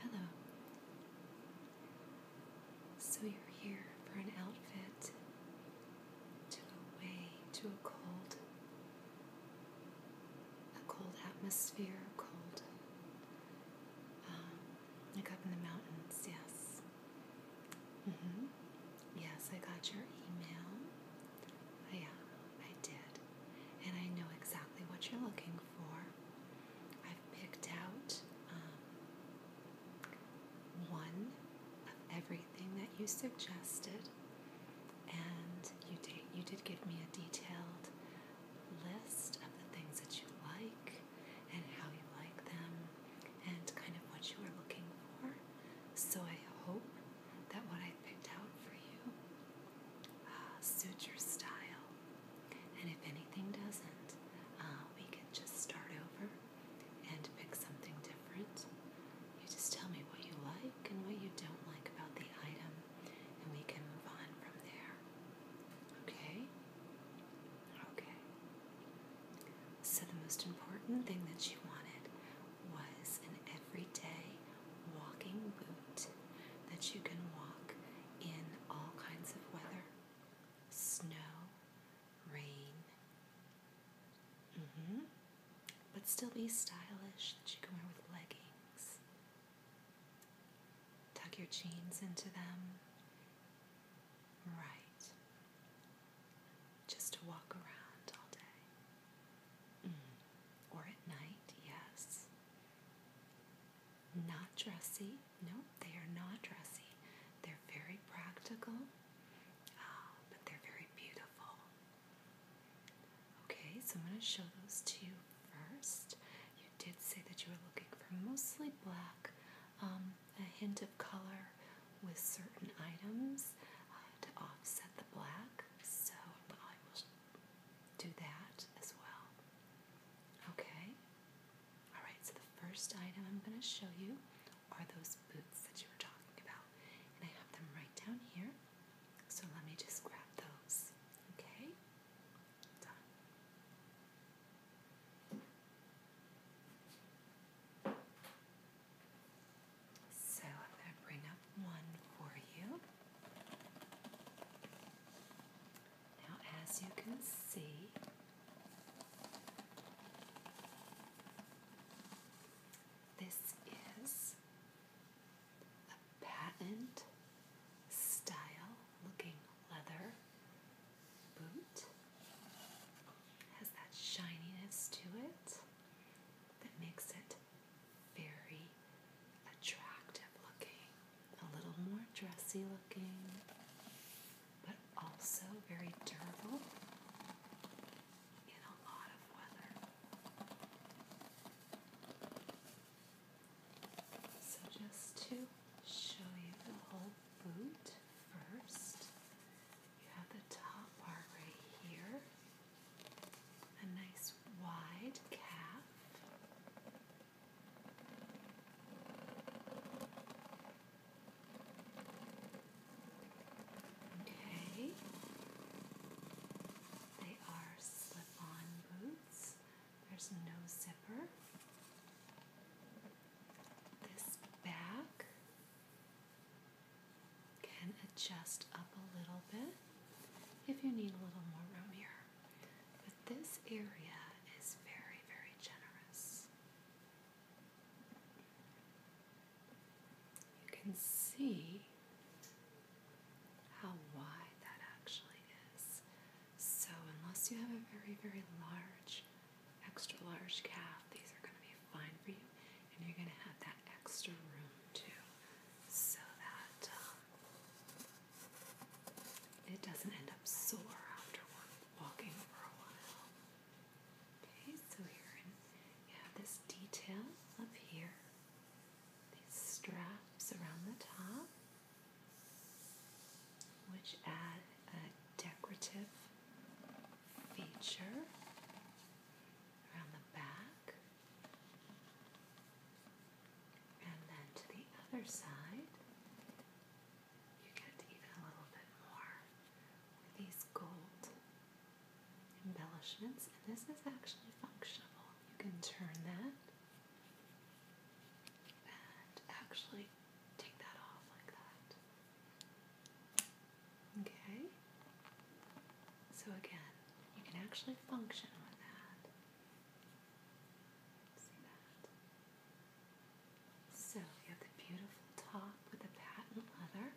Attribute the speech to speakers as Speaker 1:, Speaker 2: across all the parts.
Speaker 1: Hello. So you're here for an outfit to go away to a cold, a cold atmosphere, cold, um, like up in the mountains. Yes. hmm Yes, I got your email. I, oh, I did, and I know exactly what you're looking for. I've picked out um, one of everything that you suggested, and you did, you did give me a detailed list of the things that you like and how you like them and kind of what you are looking for. So I hope that what I picked out for you uh, ah, suits your style. And if anything doesn't, ah, we can just start over and pick something different. You just tell me what you like and what you don't like about the item, and we can move on from there. Okay? Okay. So, the most important thing that she wanted was an everyday walking boot that you can walk in all kinds of weather snow, rain, mm-hmm. but still be stylish that you can wear with leggings. Tuck your jeans into them. Right. Just to walk around all day. Mm. Or at night, yes. Not dressy. No, they are not dressy. They're very practical, uh, but they're very beautiful. Okay, so I'm going to show those to you first. You did say that you were looking for mostly black, um, a hint of color with certain items uh, to offset the black. So I will do that as well. Okay? Alright, so the first item I'm going to show you are those boots that you were talking about. And I have them right down here. So let me just grab those. Okay? Done. So I'm going to bring up one for you. Now, as you can see, this is a patent style looking leather boot. It has that shininess to it that makes it very attractive looking, a little more dressy looking, but also very durable in a lot of weather. So, just to show you the whole boot first, you have the top part right here a nice wide calf. Okay, they are slip on boots, there's no zipper. This back can adjust up a little bit if you need a little more room here. But this area is very, very generous. You can see how wide that actually is. So, unless you have a very, very large, extra large calf, these are going to be fine for you, and you're going to have that extra room too so that um, it doesn't end up sore after walking for a while. Okay, so here you have this detail up here, these straps around the top, which add a decorative feature around the back. And then to the other side, you get even a little bit more with these gold embellishments. And this is actually functional. You can turn that and actually take that off like that. Okay? So again, you can actually function on that. See that? So you have the beautiful top with the patent leather.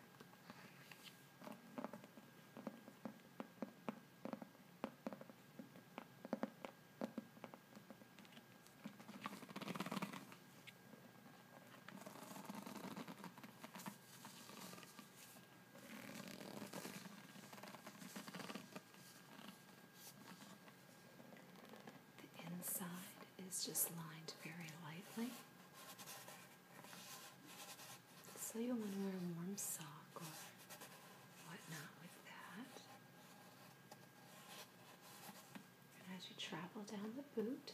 Speaker 1: The inside is just lined very lightly. So you want to wear a warm sock or whatnot with that. And as you travel down the boot,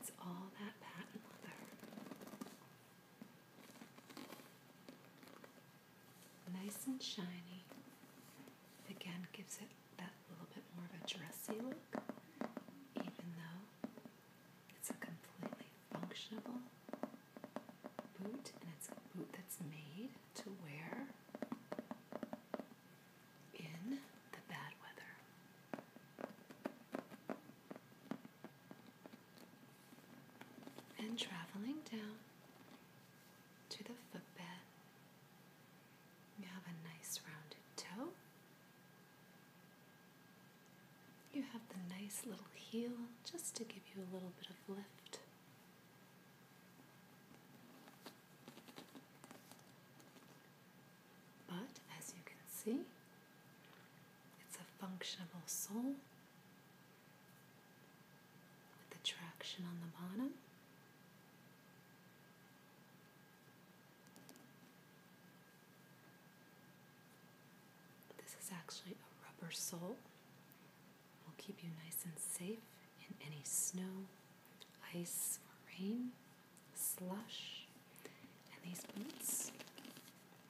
Speaker 1: it's all that patent leather Nice and shiny. Again, gives it that little bit more of a dressy look, even though it's a completely functional boot, and it's a boot that's made to wear in the bad weather and traveling down to the footbed. You have a nice rounded toe. You have the nice little heel just to give you a little bit of lift. But as you can see, it's a functional sole with attraction on the bottom. This is actually a rubber sole. Will keep you nice and safe in any snow, ice, rain, slush and these boots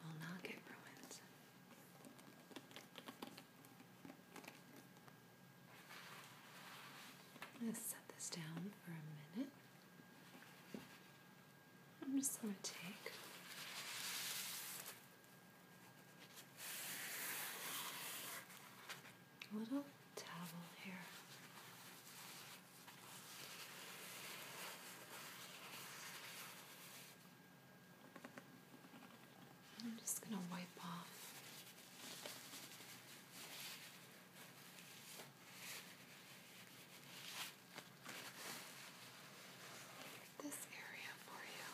Speaker 1: will not get ruined. I'm going to set this down for a minute. I'm just going to take a little towel here I'm just going to wipe off this area for you.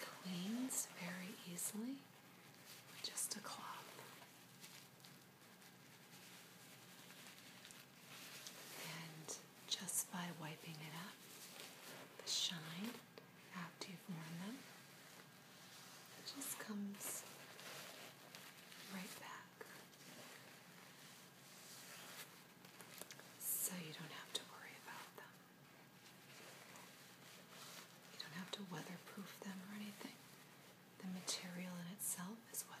Speaker 1: Cleans very easily just a cloth. And just by wiping it up, the shine after you've worn them, just comes right back. So you don't have to worry about them. You don't have to weatherproof them or anything. The material in itself is weatherproof.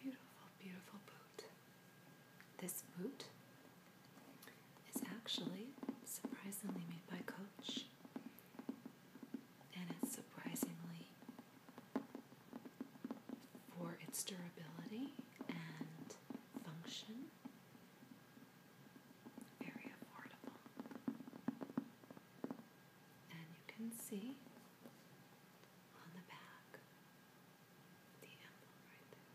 Speaker 1: Beautiful, beautiful boot. This boot is actually surprisingly made by Coach, and it's surprisingly for its durability and function. Very affordable. And you can see on the back the emblem right there.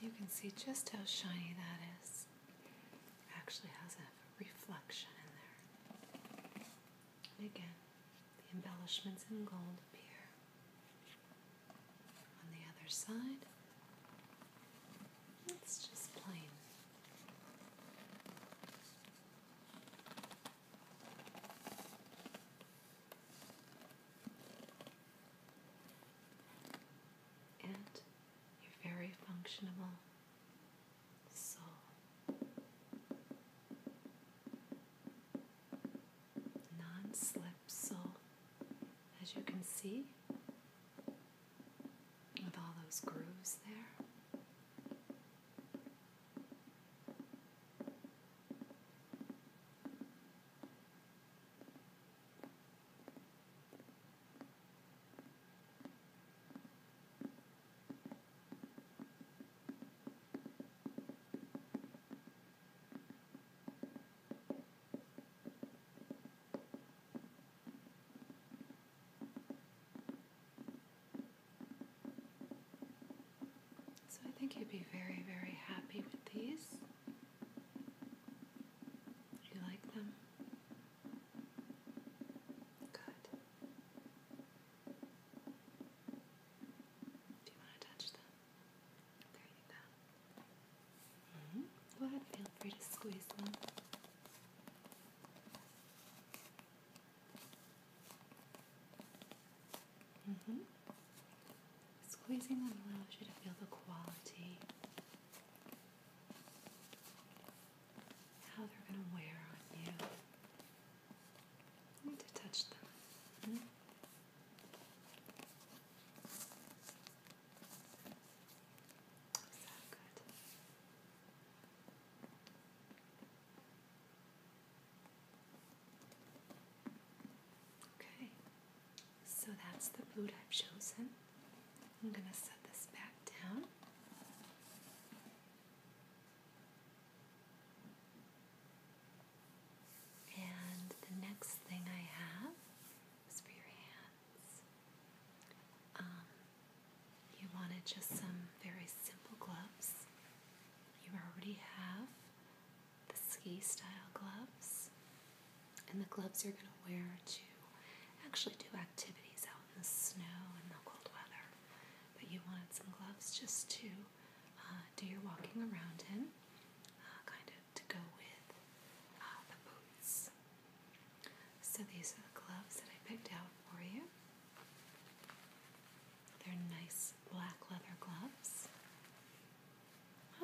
Speaker 1: You can see just how shiny that is actually has a reflection in there. And again, the embellishments in gold appear. On the other side, it's just plain. And you're very functional soul. Non slip soul, as you can see, with all those grooves there. So I think you'd be very, very happy with these. You like them? Good. Do you want to touch them? There you go. -hmm. feel free to squeeze them. Mm -hmm. Squeezing them allows you to feel the quality how they're going to wear on you. You need to touch them. Mm good? Okay, so that's the boot I've chosen. I'm going to set this back down. And the next thing I have is for your hands. Um, you wanted just some very simple gloves. You already have the ski style gloves and the gloves you're going to wear to actually do activities out the snow and the cold weather, but you wanted some gloves just to uh, do your walking around in, uh, kind of to go with uh, the boots. So these are the gloves that I picked out for you. They're nice black leather gloves,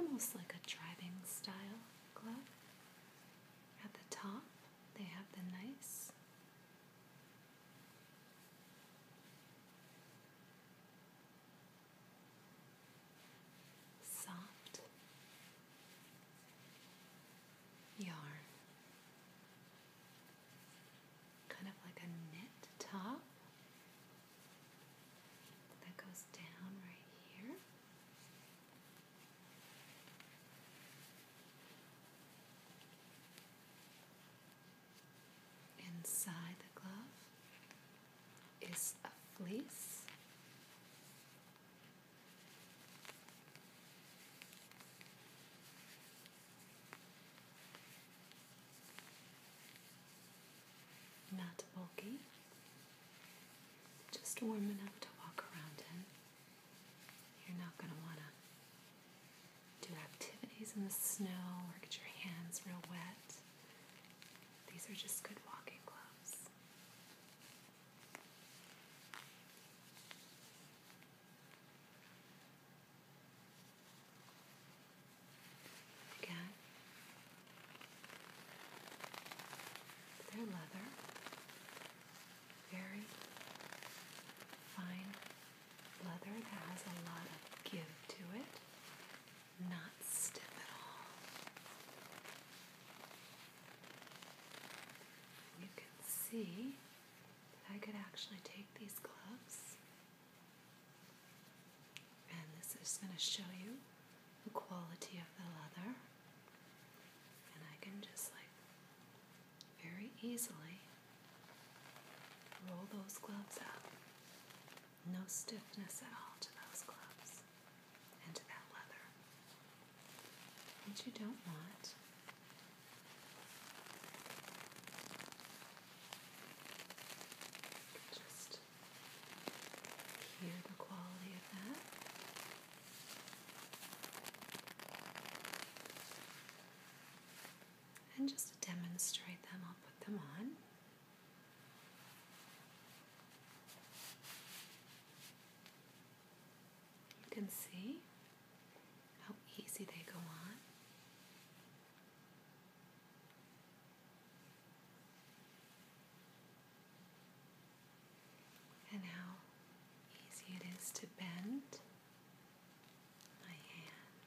Speaker 1: almost like a driving style glove. At the top, they have the nice soft yarn, kind of like a knit top that goes down right here. Inside the glove is a fleece. Not bulky, just warm enough to walk around in. You're not going to want to do activities in the snow or get your hands real wet. These are just good walking gloves. Again, they're leather very fine leather that has a lot of give to it, not stiff at all. You can see that I could actually take these gloves, and this is going to show you the quality of the leather. And I can just like very easily roll those gloves up. No stiffness at all to those gloves and to that leather. What you don't want just hear the quality of that and just to demonstrate them, I'll put them on. You can see how easy they go on and how easy it is to bend my hand.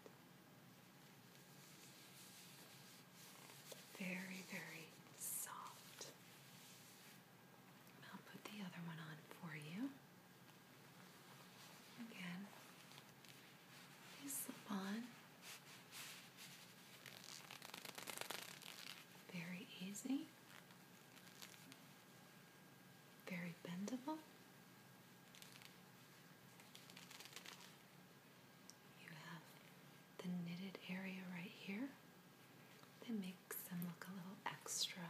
Speaker 1: Very, very soft. I'll put the other one on for you. Again, you slip on. Very easy. Very bendable. You have the knitted area right here that makes them look a little extra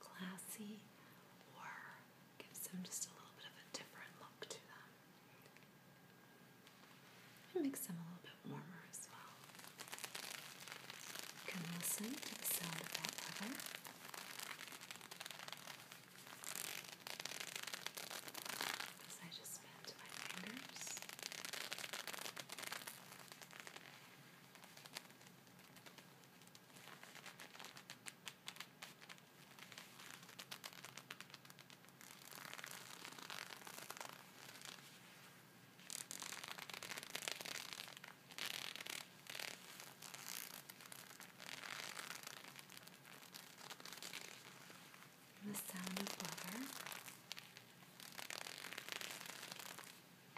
Speaker 1: classy or gives them just a little bit of a different look to them. It makes them a little bit warmer as well. can listen to the sound of that I just bend my fingers. And the sound of water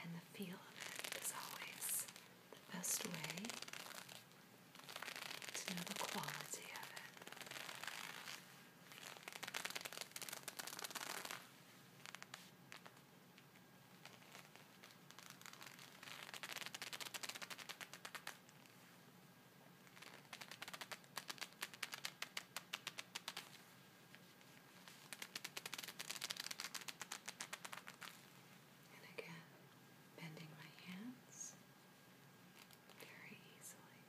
Speaker 1: and the feel of it is always the best way to know the quality of it. And again, bending my hands very easily.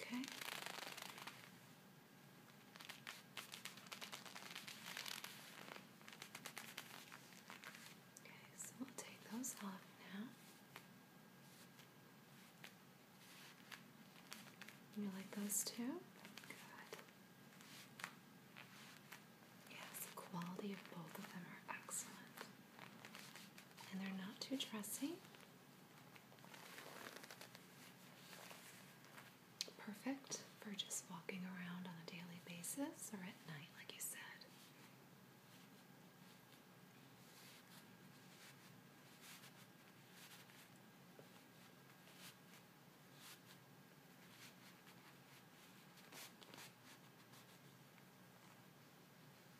Speaker 1: Okay. Okay, so we'll take those off now. You like those too? Good. Yes, quality of both of them are excellent. And they're not too dressy. Perfect for just walking around on a daily basis or at night, like you said.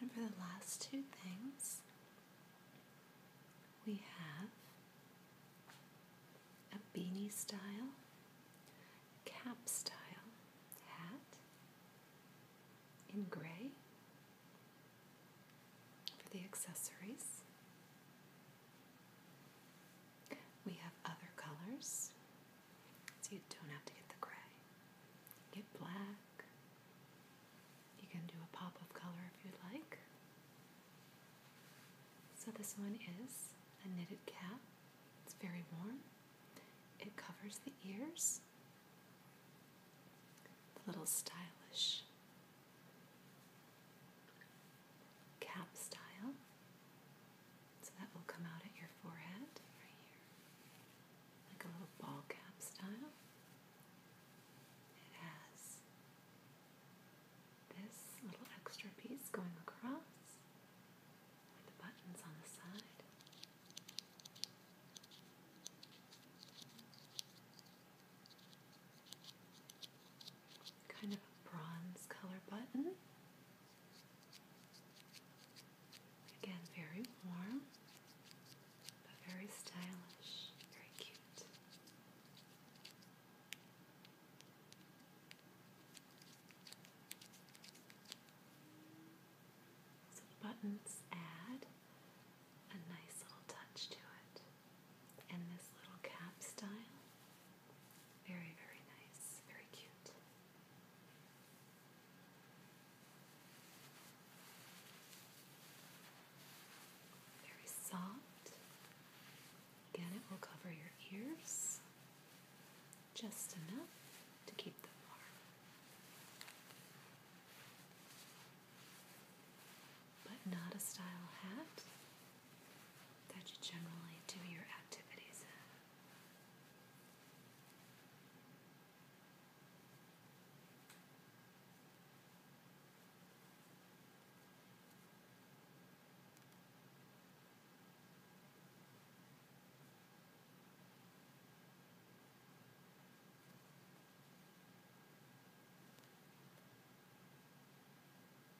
Speaker 1: And for the last two things, we have a beanie style, cap style hat in gray for the accessories. We have other colors, so you don't have to get the gray. Get black. You can do a pop of color if you'd like. So, this one is a knitted cap. It's very warm. It covers the ears. a little stylish cap style. So that will come out at your forehead right here, like a little ball cap style. It has this little extra piece going across with the buttons on the side kind of a bronze color button. Again, very warm, but very stylish, very cute. So buttons add a nice little touch to it and this little cap style. Very, very nice, very cute. Very soft. Again, it will cover your ears just enough to keep them warm. But not a style hat that you generally do your activities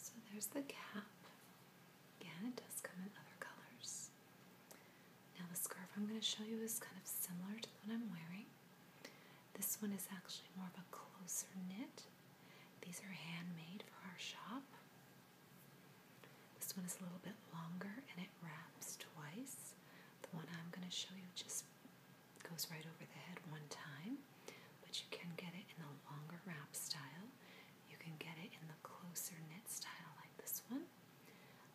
Speaker 1: So there's the cap. Again, it does come in other colors. Now, the scarf I'm going to show you is kind of similar to what I'm wearing. This one is actually more of a closer knit. These are handmade for our shop. This one is a little bit longer and it wraps twice. The one I'm going to show you just it goes right over the head one time, but you can get it in the longer wrap style. You can get it in the closer knit style, like this one.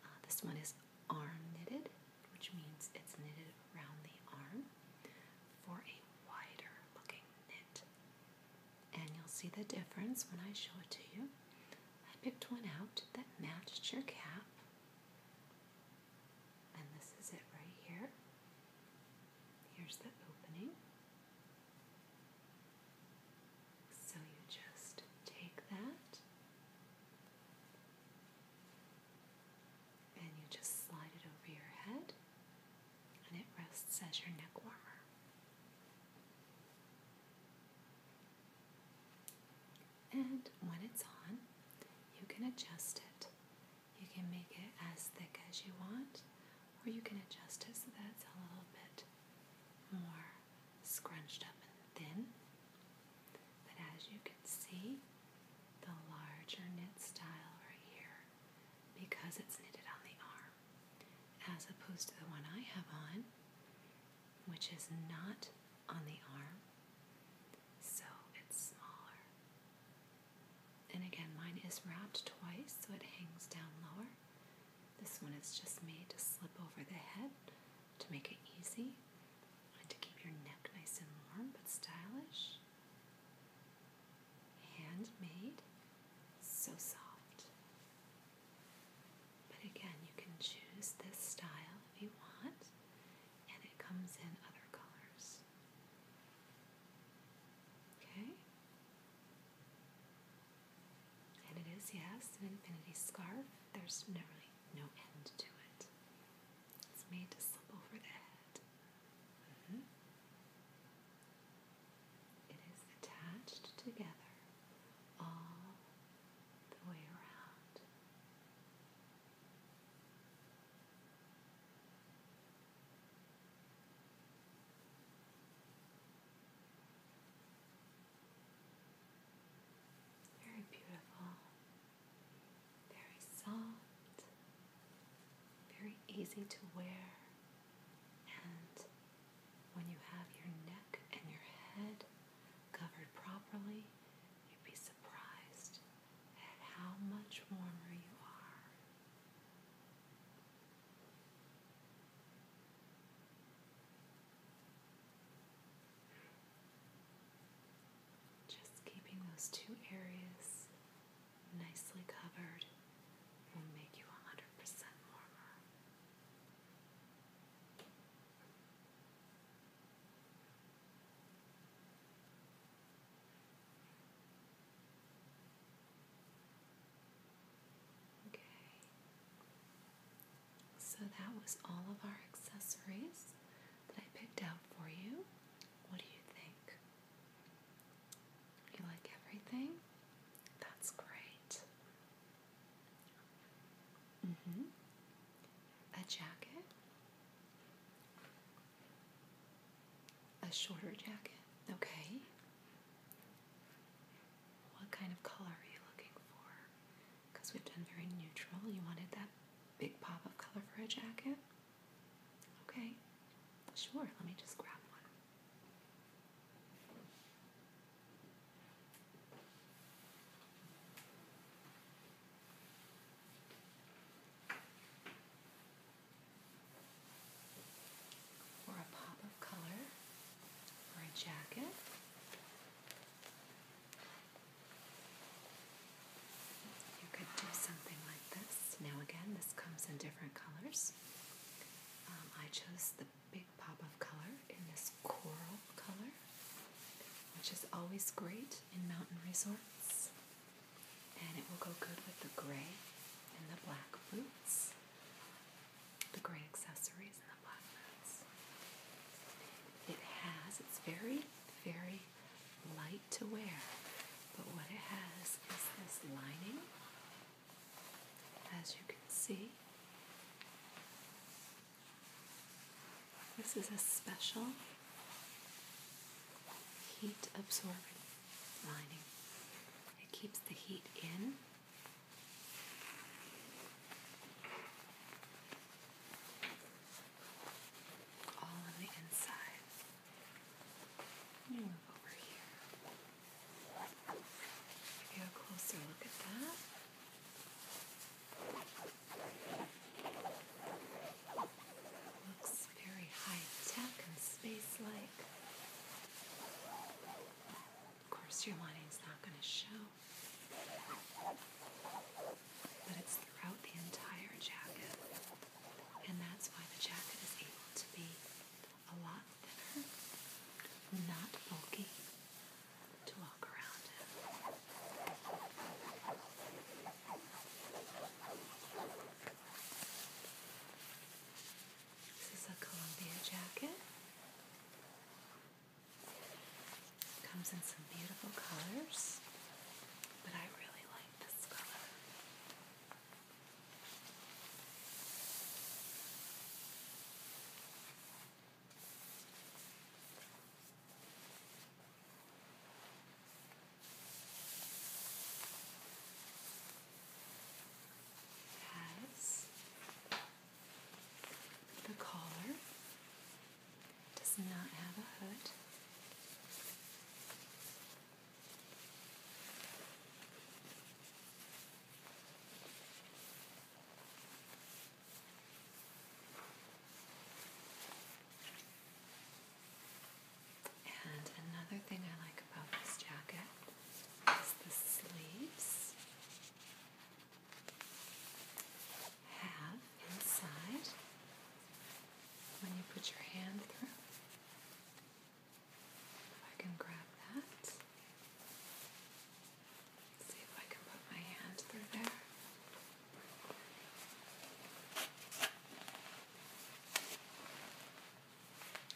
Speaker 1: Uh, this one is arm knitted, which means it's knitted around the arm for a wider looking knit. And you'll see the difference when I show it to you. I picked one out that matched your cap. And this is it right here. Here's the opening. So you just take that and you just slide it over your head, and it rests as your neck warmer. And when it's on, you can adjust it you can make it as thick as you want, or you can adjust it so that's a little bit more scrunched up and thin. But as you can see, the larger knit style right here, because it's knitted on the arm, as opposed to the one I have on, which is not on the arm, so it's smaller. And again, mine is wrapped twice so it hangs down lower. This one is just made to slip over the head to make it easy and to keep your neck nice and warm but stylish. Handmade, so soft. But again, you can choose this style if you want, and it comes in other colors. Okay? And it is, yes, an infinity scarf. There's really no end to it. It's made to slip over the head. Mm-hmm. It is attached together all the way around. Very beautiful, very soft, very easy to wear, and when you have your neck and your head covered properly, you'd be surprised how much warmer you are. Just keeping those two areas nicely covered will make you 100% warmer. So that was all of our accessories that I picked out for you. What do you think? You like everything? That's great. Mm-hmm. a jacket. A shorter jacket. Okay. What kind of color are you looking for? Because we've done very neutral. You wanted that big pop of color for a jacket? Okay. Sure, let me just grab one or a pop of color or a jacket. You could do something like this. Now, again, this comes in different colors. Um, I chose the big pop of color in this coral color, which is always great in mountain resorts and it will go good with the gray and the black boots, the gray accessories and the black It has, it's very, very light to wear, but what it has is this lining, as you can see. This is a special heat absorbing lining. It keeps the heat in. All on the inside. You move over here. Give you a closer look at that. Looks very high tech and space like. Of course, your lining's not going to show, but it's throughout the entire jacket, and that's why the jacket is able to be a lot thinner, not bulky to walk around in. This is a Columbia jacket. comes in some beautiful colors, but I really like this color has the collar, does not have a hood. And another thing I like about this jacket is the sleeves have inside when you put your hand through. If I can grab that. See if I can put my hand through there.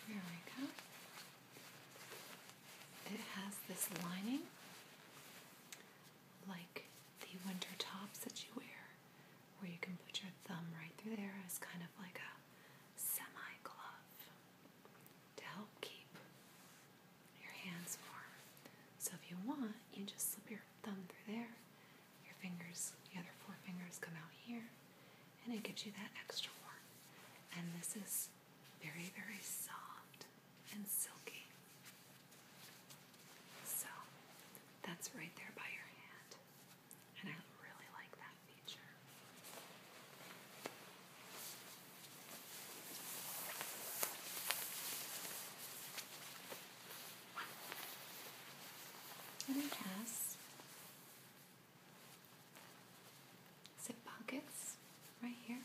Speaker 1: There we go. It has this lining like the winter tops that you wear, where you can put your thumb right through there It's kind of like a semi glove to help keep your hands warm. So if you want, you just slip your thumb through there your fingers, the other four fingers come out here, and it gives you that extra warmth. And this is very, very soft and silky. So that's right there by your hand. And I really like that feature. And it has zip pockets right here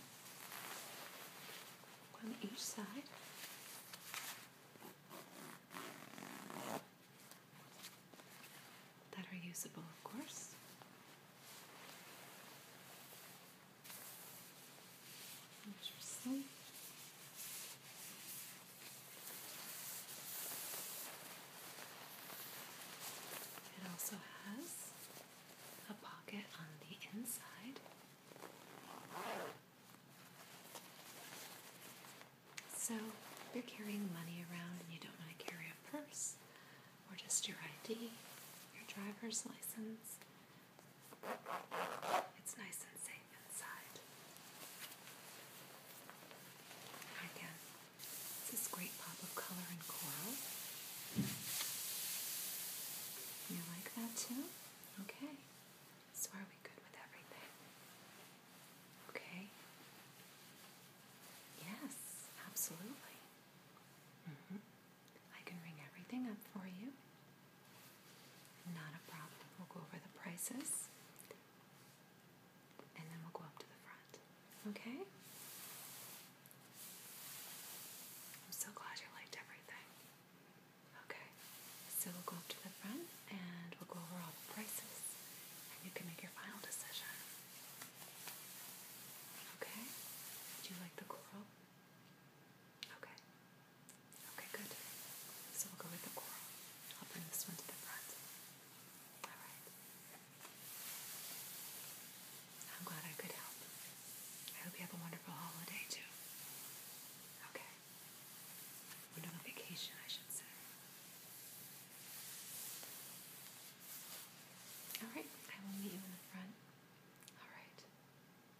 Speaker 1: on each side. That are usable, of course. Interesting. It also has a pocket on the inside. So you're carrying money around and you don't want to carry a purse or just your ID, your driver's license. It's nice and safe stay Again, this great pop of color and coral. You like that too? Okay. So are we good with everything? Okay. Yes, absolutely. Mm -hmm. I can ring everything up for you. Not a problem. We'll go over the prices and then we'll go up to the front. Okay? I'm so glad you liked everything. Okay, so we'll go up to the front and we'll go over all the prices and you can make your final decision. Okay? Do you like the coral? Okay. Okay, good. So we'll go with the coral. I'll bring this one to the front. Alright. I'm glad I could help. I hope you have a wonderful holiday too. Okay. we vacation, I should say. Alright, I will meet you in the front. Alright.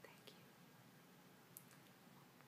Speaker 1: Thank you.